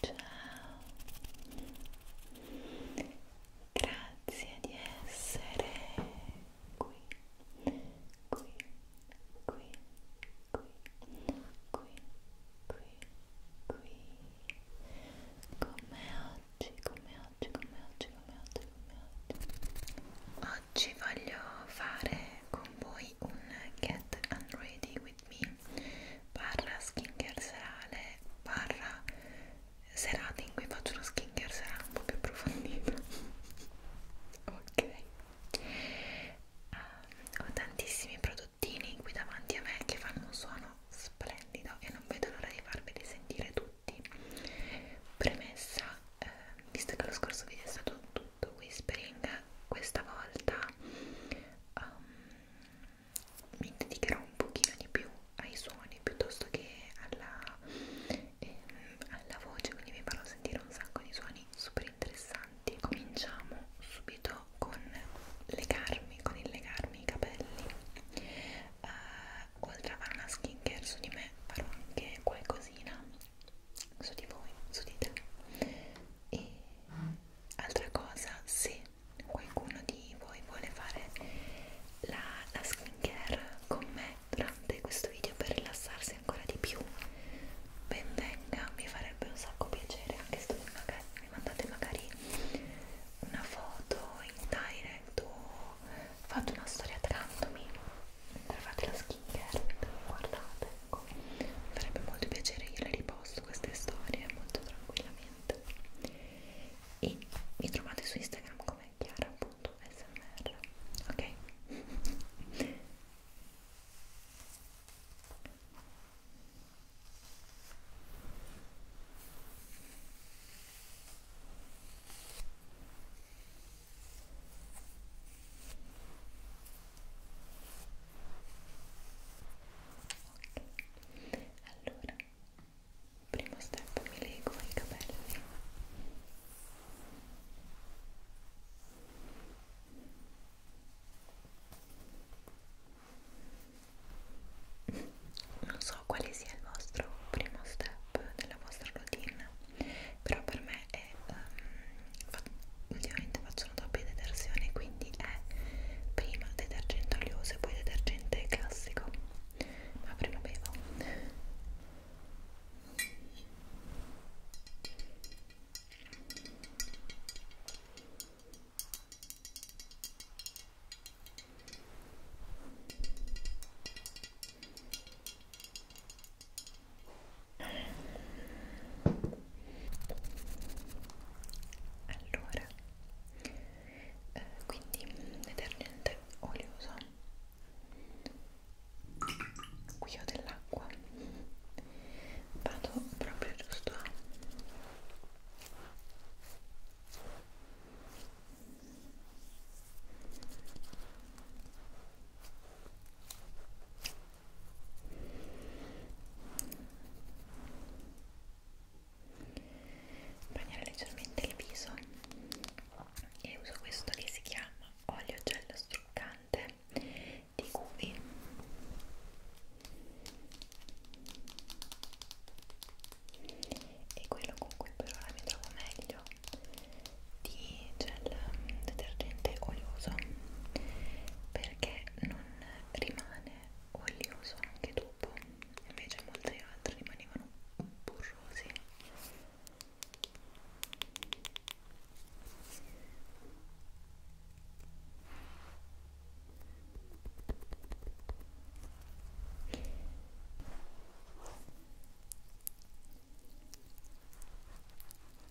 Ciao, grazie di essere qui, qui, qui, qui, qui, qui, qui, come oggi, come oggi, come oggi, come oggi, come oggi oggi voglio fare con voi un Get Unready With Me barra skincare serale barra serata in cui faccio uno skincare serale un po' più approfondito ok uh, ho tantissimi prodottini qui davanti a me che fanno un suono splendido e non vedo l'ora di farveli sentire tutti premessa eh, visto che lo scorso video è stato tutto to Whispering questa volta um, mi dedicherò un pochino di più ai suoni piuttosto che alla, ehm, alla voce quindi vi farò sentire un sacco di suoni super interessanti cominciamo subito con legarmi con il legarmi i capelli uh, oltre a fare una skin care su di me farò anche qualcosina su di voi, su di te. E altra cosa, se qualcuno di voi vuole fare la, la skincare con me durante questo video per rilassarsi ancora di più, ben venga, mi farebbe un sacco piacere anche se magari, mi mandate magari una foto in direct o fate una storia trandomi mentre fate la skin care, mentre mi guardate, ecco. mi farebbe molto piacere, io le riposto queste storie molto tranquillamente e mi trovate su Instagram come chiara.smr ok? Ok, allora, primo step mi lego i capelli. Non so quale sia il vostro primo step della vostra routine però per me è um, fa ultimamente faccio una doppia detersione quindi è prima detergente olioso e poi detergente classico ma prima bevo allora eh, quindi detergente olioso qui ho dell'acqua vado proprio giusto a bagnare leggermente il viso e uso questo che si chiama olio gel struccante di Cuvi e quello con cui per ora mi trovo meglio di gel detergente olioso perché non rimane olioso anche dopo invece molti altri rimanevano burrosi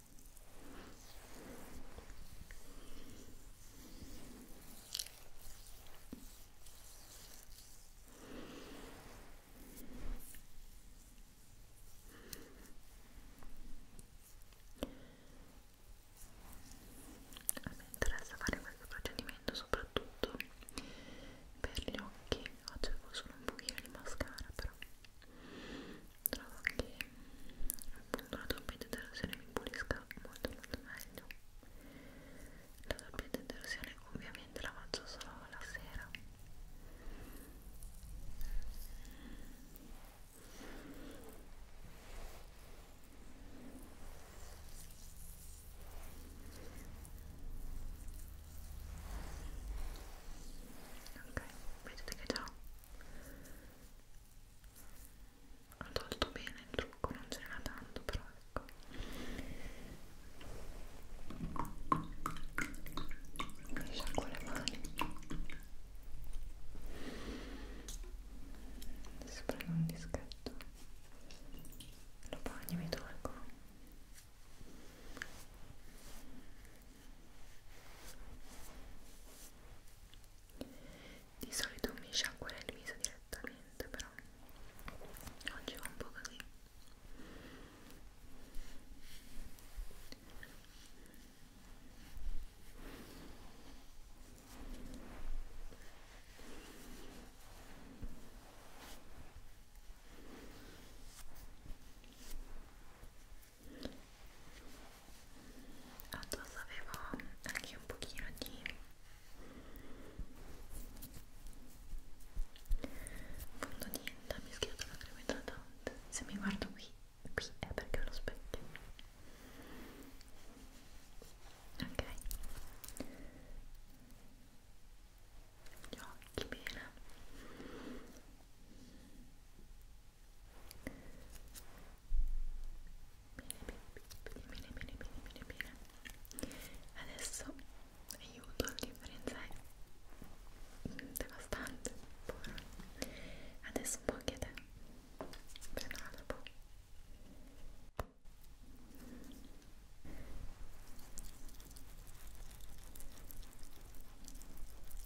A me interessa fare questo procedimento soprattutto per gli occhi. Oggi uso solo un pochino di mascara però trovo che appunto la doppia detersione mi pulisca molto molto meglio la doppia detersione ovviamente la faccio solo la sera Ok, vedete che già ho tolto bene il trucco, non ce n'era tanto però ecco mi sciacquo le mani adesso prendo un dischetto lo bagno e mi tolgo di solito mi sciacquerei il viso direttamente, però oggi va un po' così addosso avevo anche un pochino di fondotinta mischiato alla crema idratante se mi guardo qui, qui è perché ho lo specchio ok gli occhi bene bene, bene, bene, bene, bene, bene. Adesso aiuto, la differenza è devastante, povero. Adesso un po' anche te. Prendo un altro po'.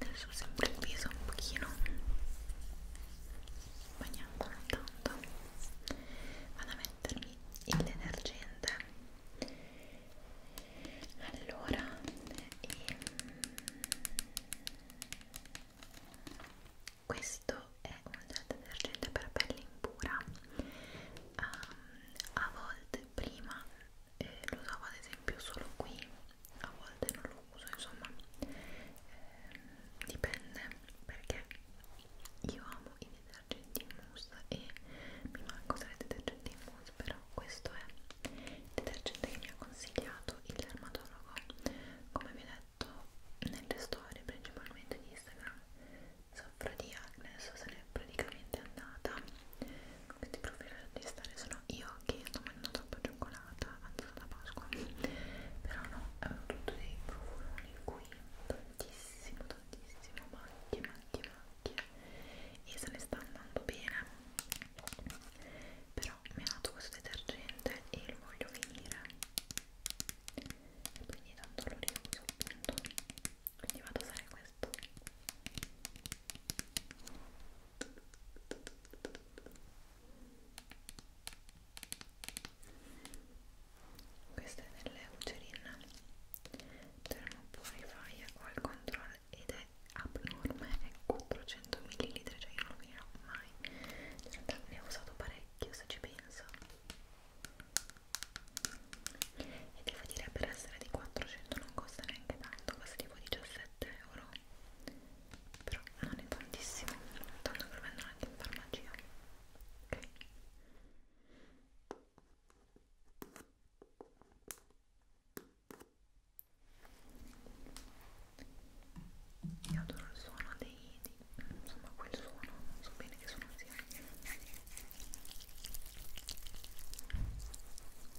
adesso sempre il viso un pochino bagnato non tanto vado a mettermi il detergente allora e... Ehm, questo è un gel detergente per pelle impura um, a volte prima eh, lo usavo ad esempio solo qui a volte non lo uso insomma eh, dipende perché io amo i detergenti in mousse e mi manco tra i detergenti in mousse però questo è il detergente che mi ha consigliato il dermatologo come vi ho detto nelle storie principalmente di Instagram soffro di acne, so se ne è praticamente andata questi profili di stare sono io che sto mangiando troppa cioccolata avanzata da Pasqua però no, avevo tutto dei profumi qui tantissimo, tantissimo macchie, macchie, macchie e se ne sta andando bene però mi ha dato questo detergente e lo voglio finire e quindi tanto lo riuso appunto quindi vado a usare questo questa è delle Eucerin Thermopurifier Oil Control ed è abnorme, è 400 ml, cioè io non lo finirò mai in realtà ne ho usato parecchio se ci penso e devo dire per essere di 400 non costa neanche tanto, costa tipo 17,99 euro euro però non è tantissimo tanto che lo vendono anche in farmacia ok io adoro il suono dei, dei insomma quel suono non so bene che suono sia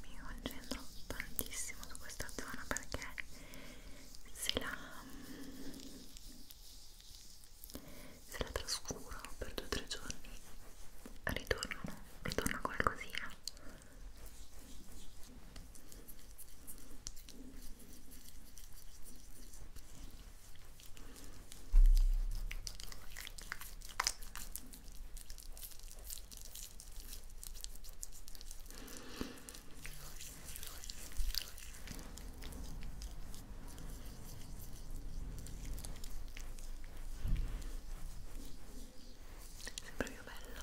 mi concentro tantissimo su questa zona perché se la se la trascuro per due o tre giorni ritorno, ritorno qualcosina Sembra più bello.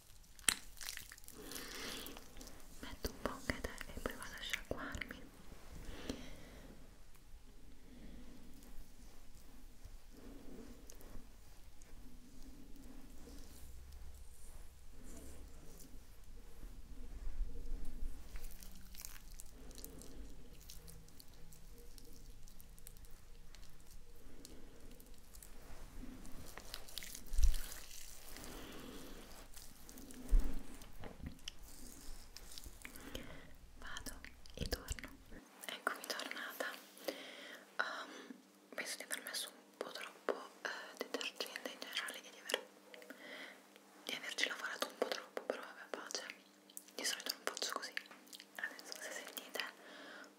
metto un po' e poi vado a sciacquarmi Vado e torno. Eccomi tornata. Um, penso di aver messo un po' troppo eh, detergente in generale e di, aver, di averci lavorato un po' troppo, però vabbè pace. Di solito non faccio così. Adesso se sentite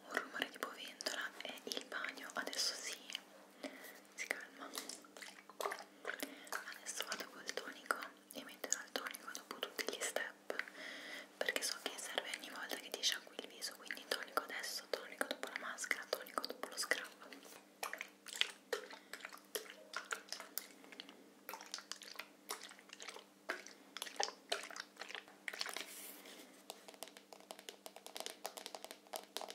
un rumore tipo ventola è il bagno, adesso sì si calma adesso vado col tonico e metterò il tonico dopo tutti gli step perché so che serve ogni volta che ti sciacqui il viso quindi tonico adesso, tonico dopo la maschera, tonico dopo lo scrub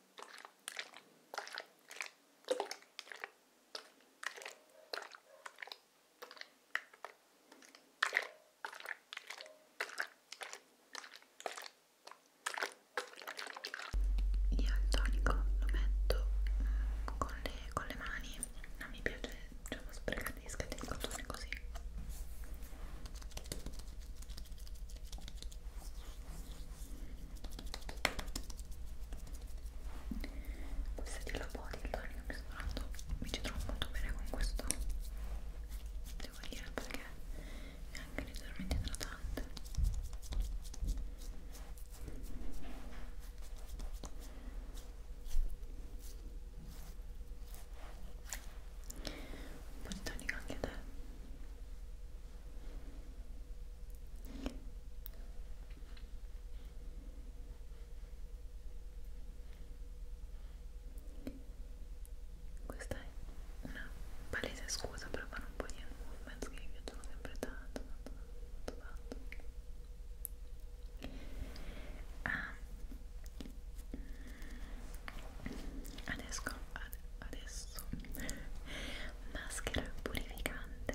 Io il tonico lo metto mm, con, le, con le mani, non mi piace diciamo cioè, sprecare gli scaglioni col tonico così questa di la body allora che mi sono trovato mi ci trovo molto bene con questo devo dire perché è anche leggermente idratante un po' di tonica anche a te questa è una palese scusa per fare un po' di hand movements che mi piacciono sempre tanto, tanto, tanto, tanto. Ah. Adesso, ad, adesso rosso maschera purificante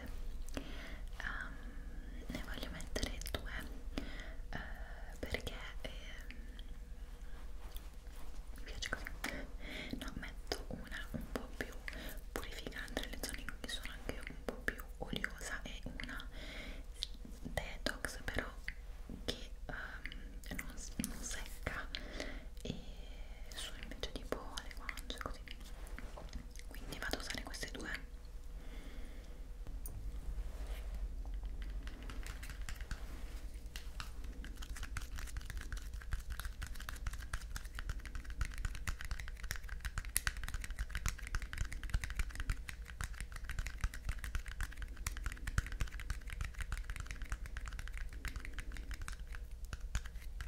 um, ne voglio mettere due uh, perché eh, mi piace così no metto una un po' più purificante nelle zone in cui sono anche un po' più oliosa e una detox però che um, non, non secca e su invece tipo le guance così quindi vado a usare queste due ok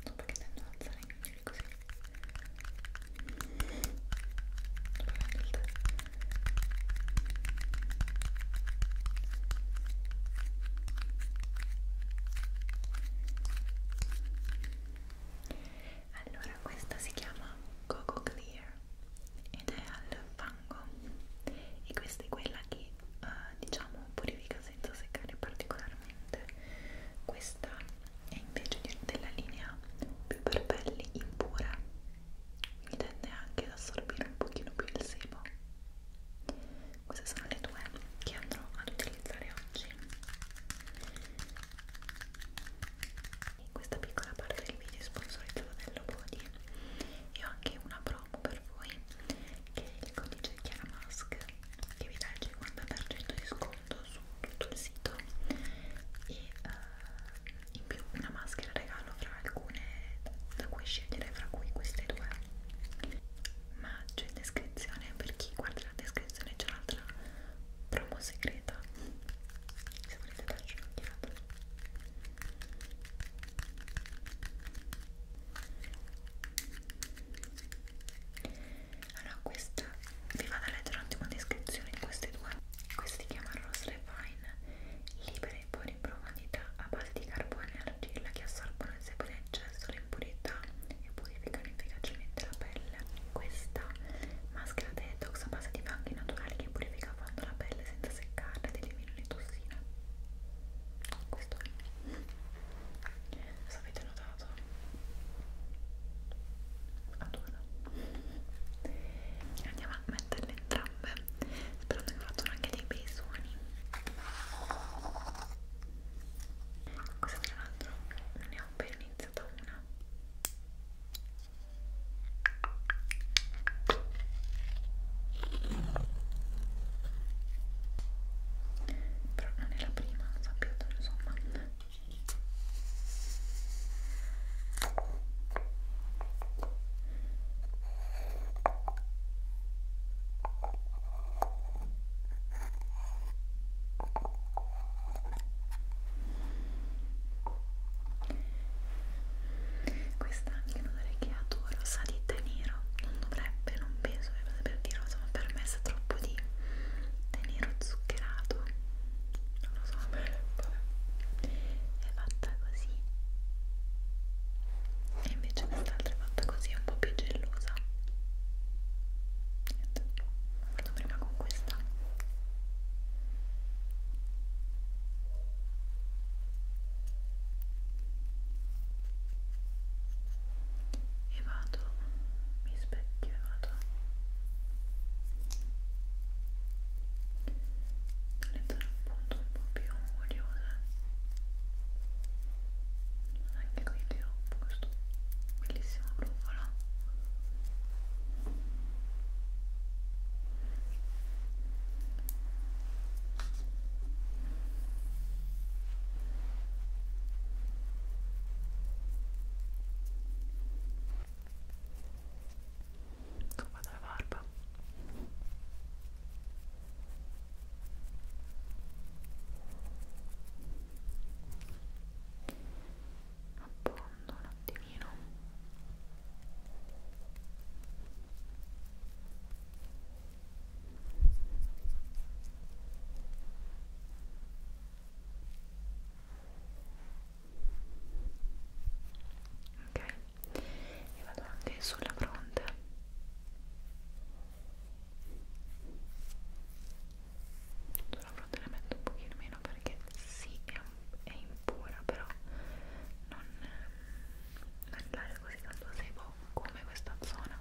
No, perché tendo ad alzare i mignoli così. Dove prendo il tè? Allora, questa si chiama Coco Clear ed è al fango e questa è quella che, eh, diciamo, purifica asciutta senza seccare particolarmente questa è invece della linea più per pelli impura quindi tende anche ad assorbire un pochino più il sebo queste sono le due che andrò ad utilizzare oggi in questa piccola parte del video sponsorizzata dell'Obody e ho anche una pro promo per voi che è il codice Chiaramask che vi dà il 50% di sconto su tutto il sito e uh, in più una maschera regalo fra alcune da cui scegliere fra cui queste due ma c'è in descrizione per chi guarda la descrizione c'è un'altra promo segreta se volete darci un'occhiata allora questa vi vado a leggere un attimo la descrizione di queste due Questi si chiamano Rose Refine Libere e buone profondità a base di carbone e argilla che assorbono e seppure in eccesso l'impurità e purificano efficacemente la pelle Questa maschera detox a base di fanghi naturali che purifica a fondo la pelle senza seccarla ed elimina le tossine questo è Cosa avete notato? Adoro. Andiamo a metterle entrambe, sperando che facciano anche dei bei suoni. Questa tra l'altro ne ho appena iniziata una però non è la prima, non sapete insomma questa anche un odore che adoro sa di te nero non dovrebbe, non penso peso e vado per dirlo, insomma per me sa troppo di tè nero zuccherato non lo so, vabbè è fatta così e invece quest'altra è fatta così, è un po' più gelosa niente, vado prima con questa e vado, mi specchio e vado diventare appunto un po' più curiosa anche qui tiro questo bellissimo brufolo Scopa della barba appondo un attimino ok ok e vado anche sulla fronte sulla fronte ne metto un pochino meno perché sì è, è impura però non, non è così tanto sebo bello come questa zona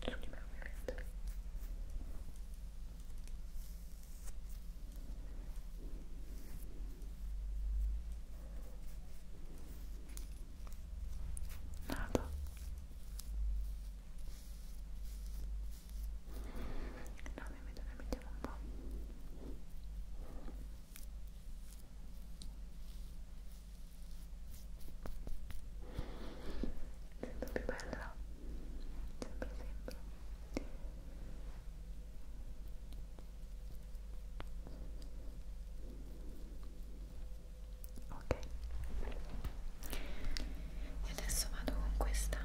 su di me ovviamente Nada. No, mi mettiamo un po' sento più bella sempre sempre ok e adesso vado con questa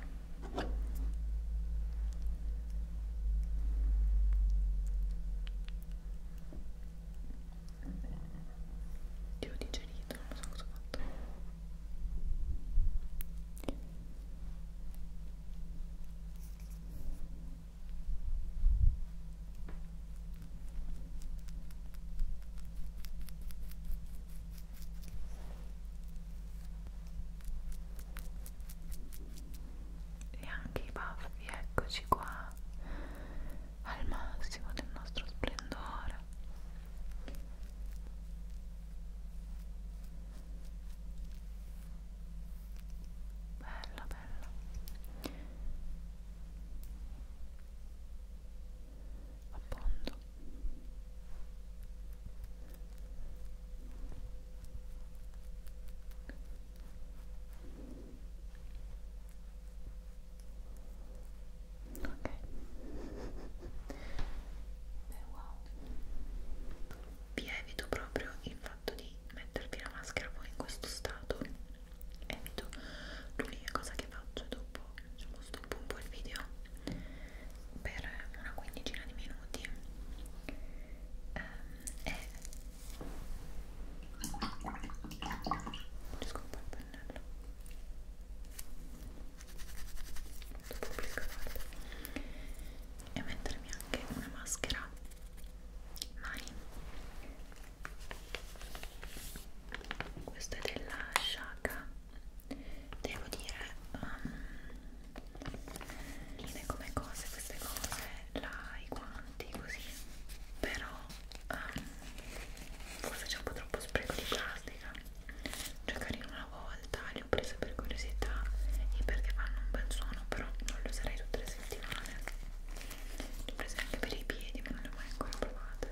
ti ho digerito, non so cosa ho fatto e anche i baffi, eccoci qua al massimo del nostro splendore bella bella appunto Bene. Ok. Beh, wow. Vi evito proprio il fatto di mettervi la maschera poi in questo stato. Evito. L'unica cosa che faccio dopo, diciamo, stoppo un po' il video per una quindicina di minuti. Um, è riesco un po' il pennello dopo applicarlo e mettermi anche una maschera mani questa è della Shaka devo dire um, come cose queste cose la, i guanti così però um, forse c'è un po' troppo spreco di plastica cioè carino una volta li ho presi per curiosità e perché fanno un bel suono però non li userei tutte le settimane li ho presi anche per i piedi ma non le ho mai ancora provate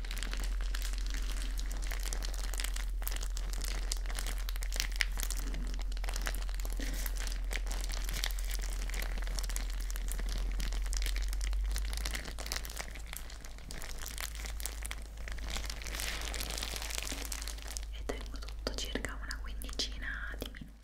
e tengo tutto circa una quindicina di minuti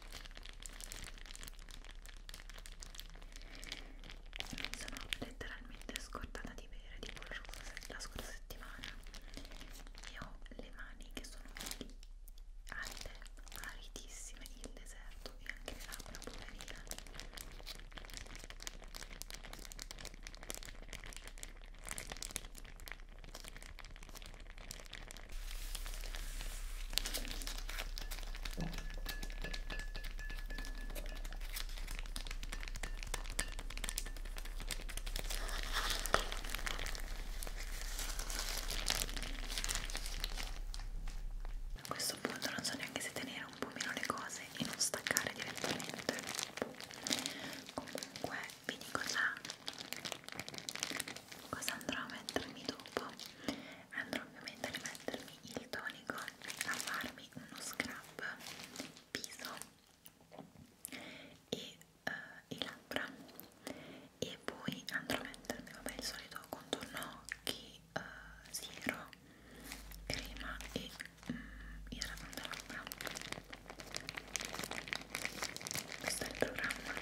mi sono letteralmente scordata di bere tipo la scorsa settimana e ho le mani che sono aride, aridissime il deserto e anche le labbra poverina a questo punto non so neanche se tenere un po' meno le cose e non staccare direttamente. Comunque vi dico già cosa andrò a mettermi dopo? andrò ovviamente a rimettermi il tonico a farmi uno scrub viso e uh, i labbra e poi andrò a mettermi vabbè il solito contorno occhi uh, siero crema e mm, idratante labbra questo è il programma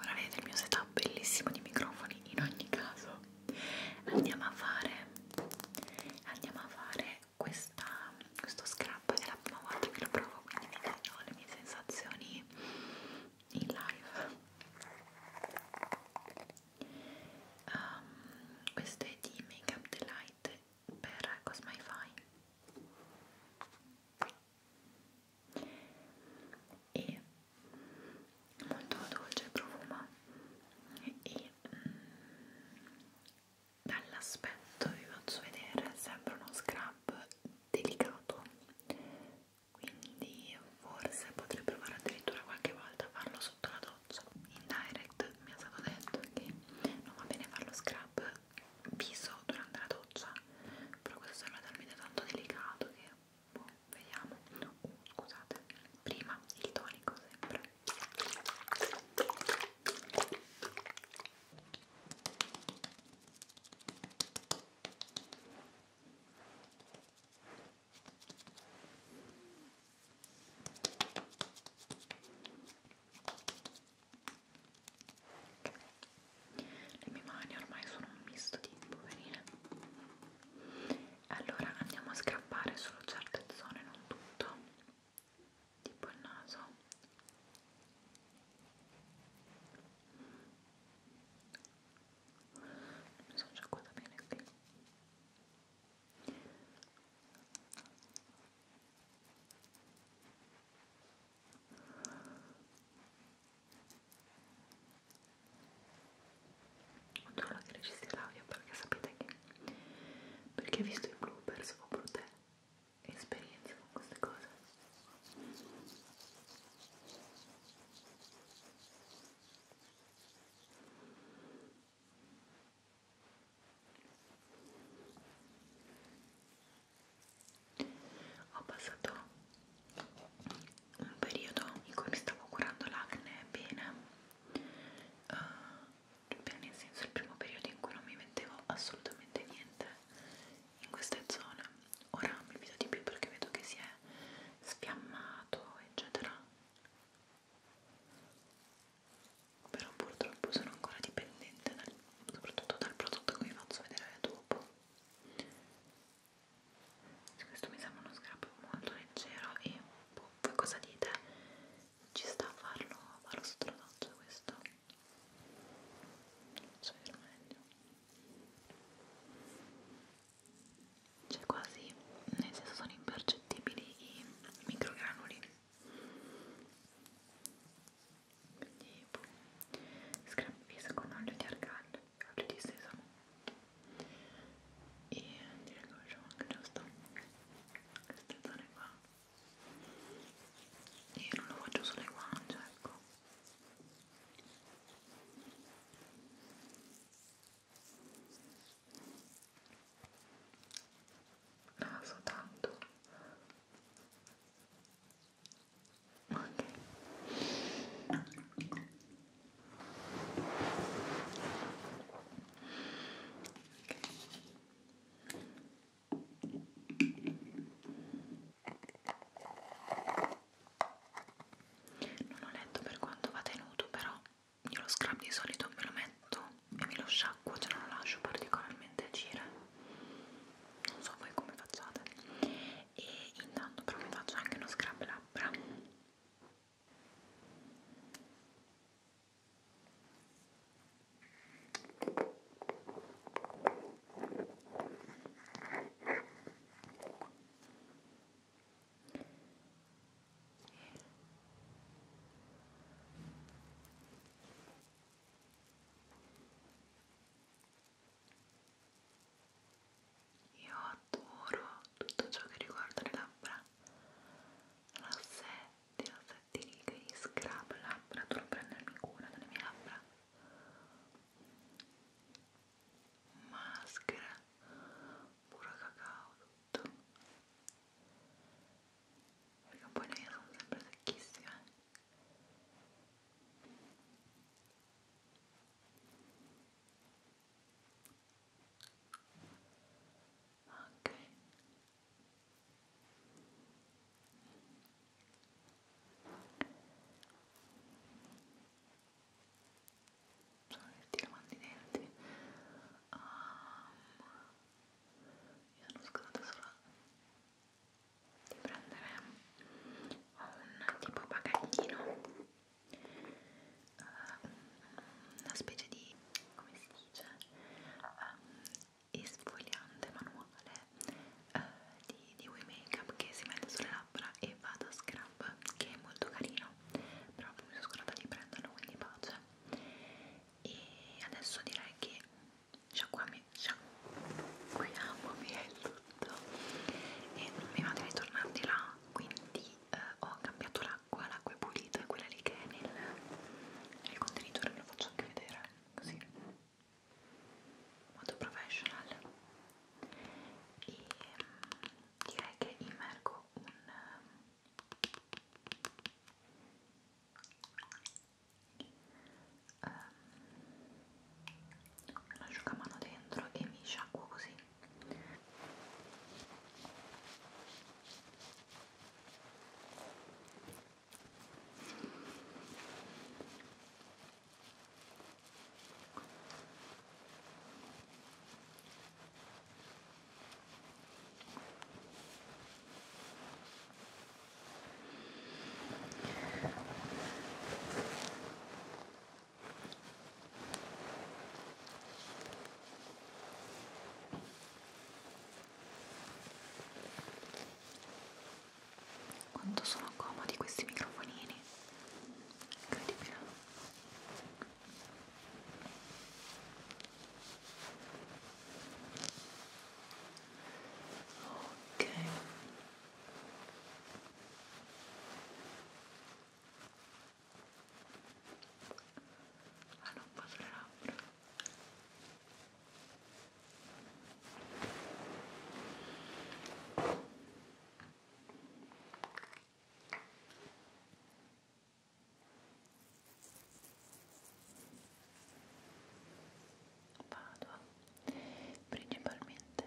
ora vedete il mio setup bellissimo di microfoni in ogni caso andiamo a fare andiamo a fare questa, questo scrub è la prima volta che lo provo quindi vi dirò le mie sensazioni in live um, questo è di Makeup Delight per Cosmify e molto dolce e profuma e, e mm, dall'aspetto vi faccio vedere sembra uno scrub delicato quindi forse potrei provare addirittura qualche volta a farlo sotto la doccia in direct mi è stato detto che non va bene farlo scrub viso durante la doccia però questo sembra talmente tanto delicato che storia boh, vediamo no, scusate prima il tonico sempre Okay le mie mani ormai sono un misto di poverine allora andiamo a scrappare solo certe zone non tutto tipo il naso mi sono sciacquata bene qui Controllo che registri l'audio perché sapete che per chi ha visto i bloopers o brutte esperienze con queste cose ho passato un periodo in cui mi stavo curando l'acne bene uh, eh, bene nel senso il primo periodo in cui non mi mettevo assolutamente niente in queste zone ora mi fido di più perché vedo che si è sfiammato eccetera però purtroppo sono ancora dipendente dal, soprattutto dal prodotto che vi faccio vedere dopo questo mi sembra uno scrub molto leggero e boh, voi cosa dite? Ci sta a farlo, farlo sotto la doccia questo? Faccio vedere meglio Cioè quasi, nel senso sono impercettibili i microgranuli Quindi boh, scrub viso con olio di argan olio di sesamo e direi che facciamo anche giusto queste zone qua e non lo faccio sulle guance ecco naso ah, tanto Okay. Non ho letto per quanto va tenuto, però io lo scrub di solito me lo metto e me lo sciacquo, cioè non lo lascio particolarmente agire. Non so voi come facciate e intanto però mi faccio anche uno scrub labbra io adoro tutto ciò che riguarda le labbra, rossetti, rossetti rigidi, scrub labbra, dovrò prendermi cura delle mie labbra, maschere, puro cacao, tutto, perché poi le mie sono sempre secchissime. Eh ok sono che ti lavando i denti um, io sono scordata solo di prendere un tipo bagaglino uh, una specie di, come si dice, um, esfoliante manuale uh, di, di wee makeup che si mette sulle labbra e va da scrub, che è molto carino, però mi sono scordata di prenderlo, quindi pace. E adesso direi che sciacquiamo, sciacquiamo meglio tutto esatto. e non mi va di ritornare di là quindi eh, ho cambiato l'acqua, l'acqua è pulita, quella lì che è nel, nel contenitore ve lo faccio anche vedere così modo professional e mm, direi che immergo un um, un asciugamano dentro e mi sciacquo così quanto sono comodi questi microfonini, incredibile. Ok. Hanno ah, un po' sulle labbra. Padova principalmente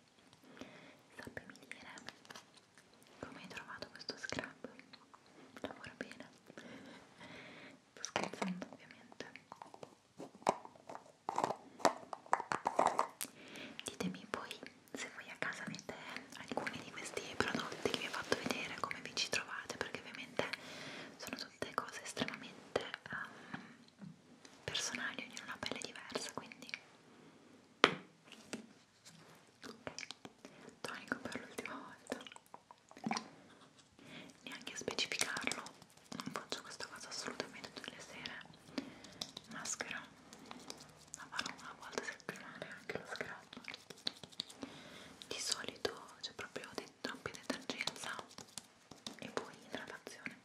Sappimi dire come hai trovato questo scrub. Lavora bene. Sto scherzando ovviamente. Ditemi poi se voi a casa avete alcuni di questi prodotti che vi ho fatto vedere, come vi ci trovate, perché ovviamente sono tutte cose estremamente um, personali, ognuno ha una pelle diversa, quindi ok, tonico per l'ultima volta neanche specificarlo non faccio questa cosa assolutamente tutte le sere maschera la farò una volta a settimana anche lo scrub di solito c'è cioè proprio troppi detergenza e poi idratazione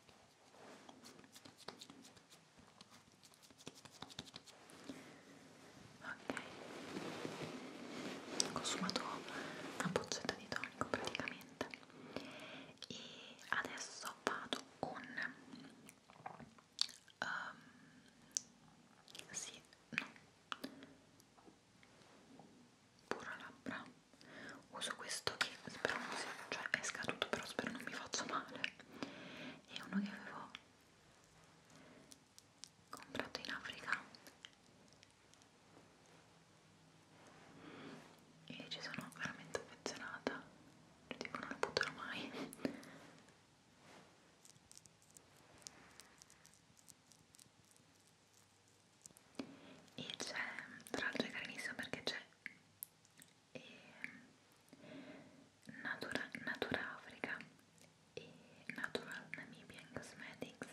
ok ho consumato una boccetta di tonico praticamente e adesso vado con um, sì, no pura labbra uso questo che spero non sia, cioè è scaduto però spero non mi faccia male è uno che avevo comprato in Africa e ci sono veramente affezionata cioè, tipo non lo butterò mai e c'è tra l'altro è carinissimo perché c'è e ehm, Natura, Natura Africa e Natural Namibian Cosmetics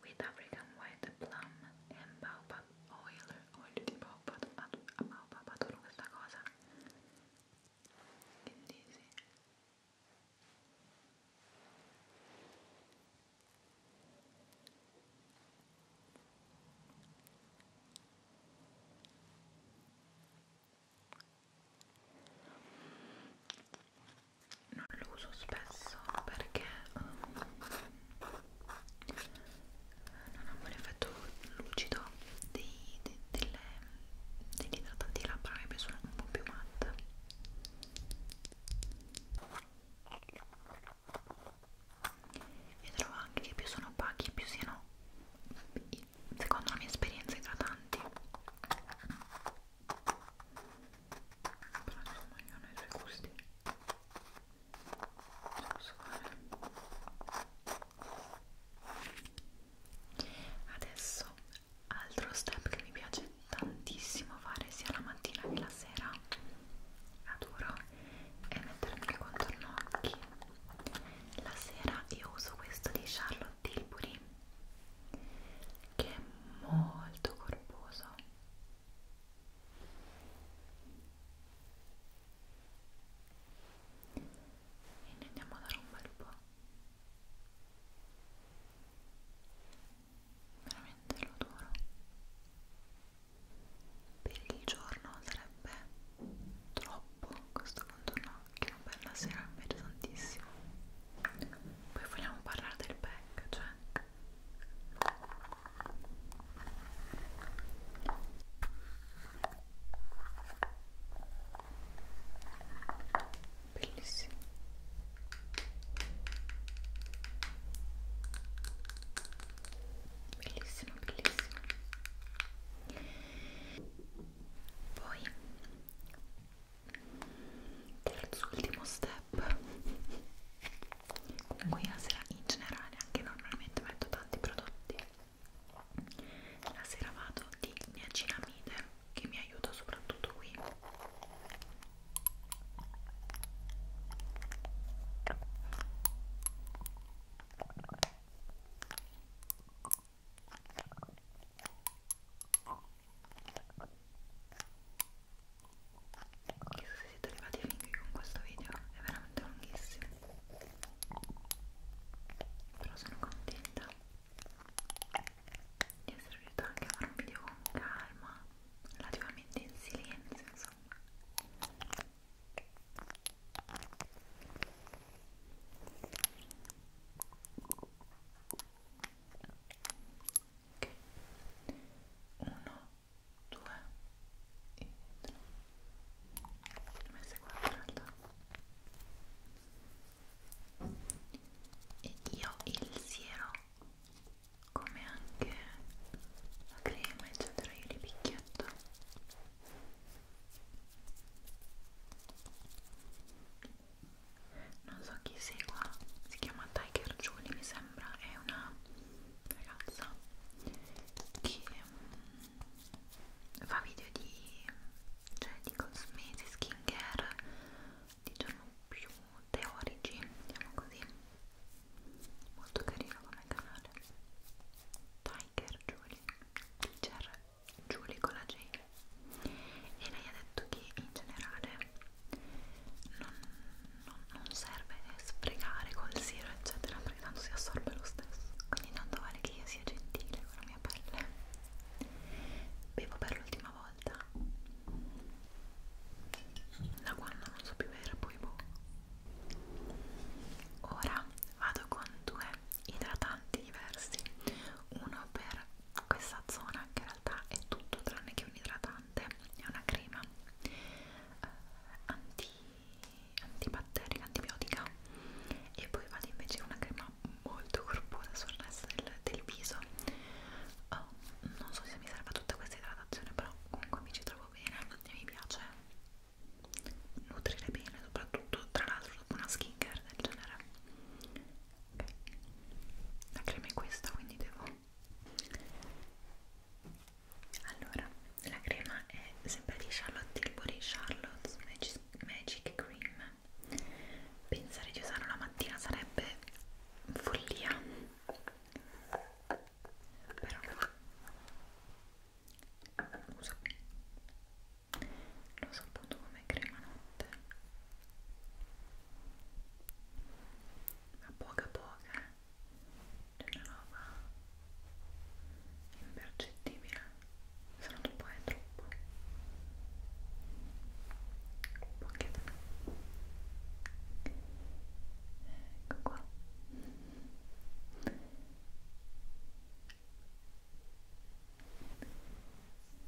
with African White Plum and Baobab Oil Olio di Baobab, Baobab adoro questa cosa che dici? non lo uso spesso perché um, non ha un effetto lucido dei, de, delle, degli idratanti labbra che sono un po' più matte e trovo anche che più sono opachi più siano secondo la mia esperienza idratanti però insomma ognuno ha i suoi gusti non posso fare eh. adesso altro step che mi piace tantissimo fare sia la mattina che la sera adoro è mettermi i contorno occhi la sera io uso questo di Charlotte Tilbury che è molto corposo e ne andiamo a dare un bel po' veramente lo adoro per il giorno sarebbe troppo questo contorno che non bella sera mi piace tantissimo poi vogliamo parlare del pack cioè bellissimo bellissimo bellissimo poi terzo ultimo step comunque la sera in generale anche normalmente metto tanti prodotti la sera vado di niacinamide che mi aiuta soprattutto qui Chissà se siete arrivati fin qui con questo video, è veramente lunghissimo. Però sono contenta di essere riuscita anche a fare un video con calma, relativamente in silenzio, insomma ok uno due e tre messe quattro in realtà e io il siero come anche la crema eccetera io li picchietto non so chi segua si chiama Tiger Julie mi sembra è una ragazza che mm, fa video di cioè di cosmesi skincare diciamo più teorici diciamo così molto carino come canale Tiger Julie Teacher Julie con la J e lei ha detto che in generale non, non, non serve sprecare col siro eccetera perché tanto si assorbe lo stesso quindi tanto vale che io sia gentile con la mia pelle bevo per l'ultima volta da quando non so più bere poi boh ora vado con due idratanti diversi uno per questa zona che in realtà è tutto tranne che un idratante è una crema eh, anti, antibatterica, antibiotica e poi vado invece una crema molto corposa sul resto del, del viso oh, non so se mi serve tutta questa idratazione però comunque mi ci trovo bene e mi piace nutrire bene soprattutto tra l'altro una skincare del genere okay. la crema è questa quindi devo allora la crema è sempre di Charlotte Tilbury Charlotte's Magic, Magic Cream pensare di usarla la mattina sarebbe follia però uso l'ho saputo come crema notte ma poca poca eh? c'è una roba impercettibile se non troppo è troppo pochetta ecco qua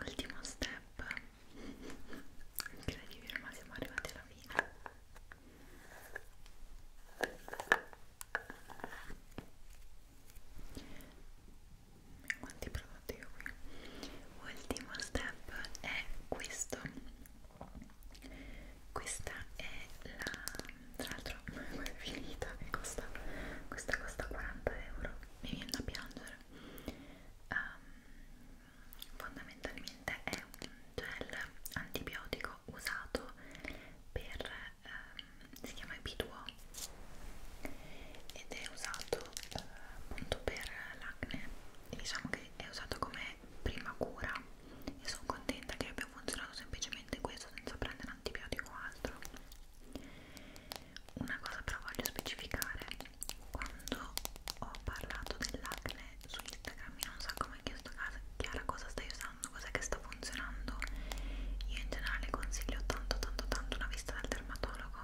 ultimo step incredibile ormai siamo arrivati alla fine quanti prodotti ho qui ultimo step è questo questa è la tra l'altro è finita e costa questa costa 40 euro mi viene da piangere um, fondamentalmente è un gel antibiotico usato per um, si chiama Epiduo ed è usato uh, appunto per l'acne e diciamo che è usato come prima cura e sono contenta che abbia funzionato semplicemente questo senza prendere antibiotico o altro una cosa però voglio specificare quando ho parlato dell'acne su Instagram io non so come ho chiesto casa Chiara cosa stai usando, cos'è che sta funzionando io in generale consiglio tanto tanto tanto una vista dal dermatologo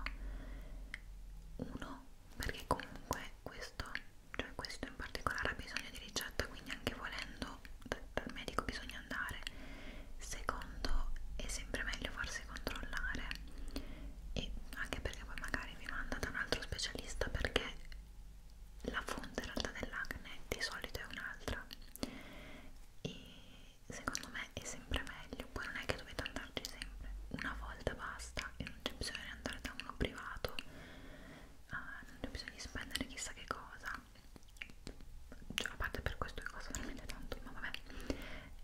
uno perché comunque questo cioè questo in particolare ha bisogno di ricetta quindi anche volendo dal medico bisogna andare secondo è sempre meglio farsi controllare e anche perché poi magari vi manda da un altro specialista perché la fonte in realtà dell'acne di solito è un'altra e secondo me è sempre meglio poi non è che dovete andarci sempre una volta basta e non c'è bisogno di andare da uno privato uh, non c'è bisogno di spendere chissà che cosa cioè, a parte per questo che costa veramente tanto ma vabbè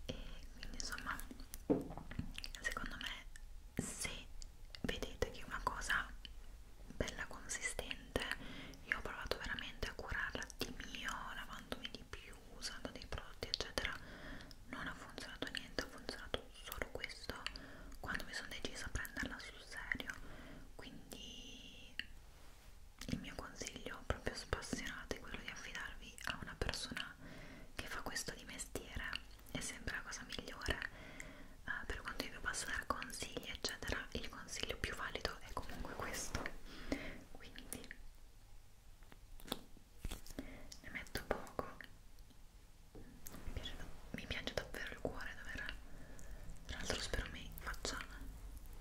e quindi insomma secondo me se vedete che è una cosa bella consistente io ho provato veramente a curarla di mio lavandomi di più usando dei prodotti eccetera non ha funzionato niente ha funzionato solo questo quando mi sono decisa a prenderla sul serio quindi il mio consiglio proprio spassionato è quello di affidarvi a una persona che fa questo di mestiere è sempre la cosa migliore eh, per quanto io vi possa dare consigli eccetera il consiglio più valido è comunque questo quindi ne metto poco mi piace, mi piace davvero il cuore dover tra l'altro spero mi faccia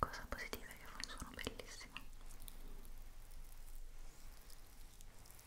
Cosa positiva è che fa un suono bellissimo.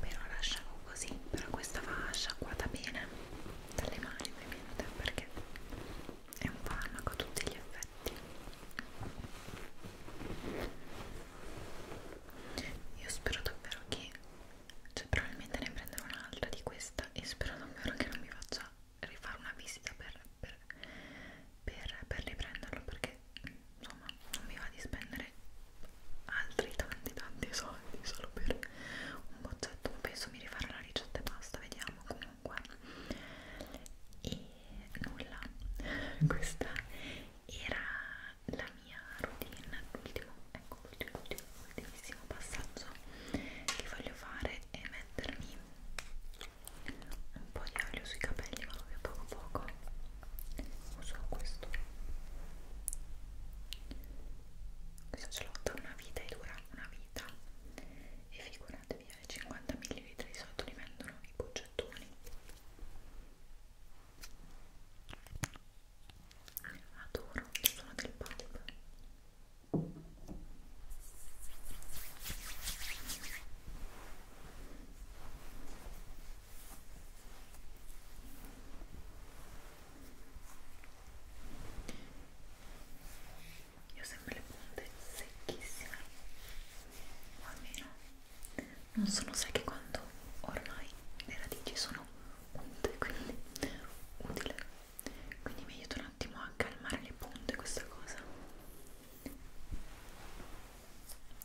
però lasciamo così però questa va sciacquata bene dalle mani ovviamente perché è un farmaco a tutti gli effetti io spero davvero che cioè probabilmente ne prenderò un'altra di questa e spero davvero che non mi faccia rifare una visita per, per, per, per riprenderlo perché insomma non mi va di spendere altri tanti tanti soldi solo per un boccetto penso mi rifarò la ricetta e basta vediamo comunque e nulla questa era la mia routine l'ultimo ecco ecco l'ultimo, ultimo, ultimissimo passaggio che voglio fare è mettermi un po' di olio sui capelli ma proprio poco poco uso questo questo ce l'ho da una vita e dura una vita e figuratevi ai 50 ml di sotto li vendono i boccettoni adoro sono del pop io ho sempre le punte secchissime, o almeno non sono secche quando ormai le radici sono punte, quindi utile quindi mi aiuta un attimo a calmare le punte questa cosa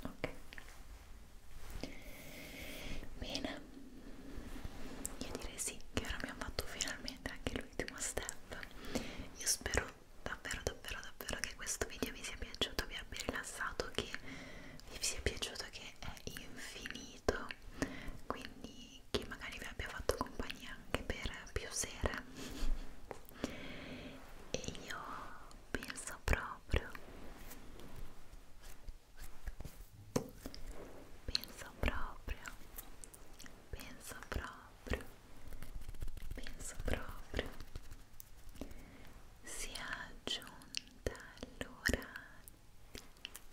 ok bene io direi sì che ora abbiamo fatto finalmente anche l'ultimo step io spero davvero davvero davvero che questo video vi sia piaciuto vi abbia rilassato che vi sia piaciuto che è infinito quindi che magari vi abbia fatto compagnia anche per più sere e io penso proprio penso proprio penso proprio penso proprio si è aggiunta l'ora di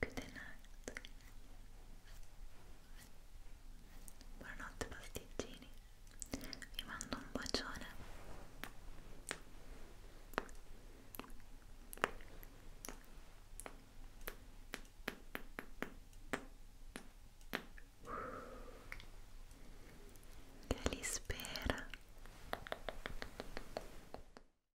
Good night. Buonanotte pasticcini. Vi mando un bacione. Che li spera.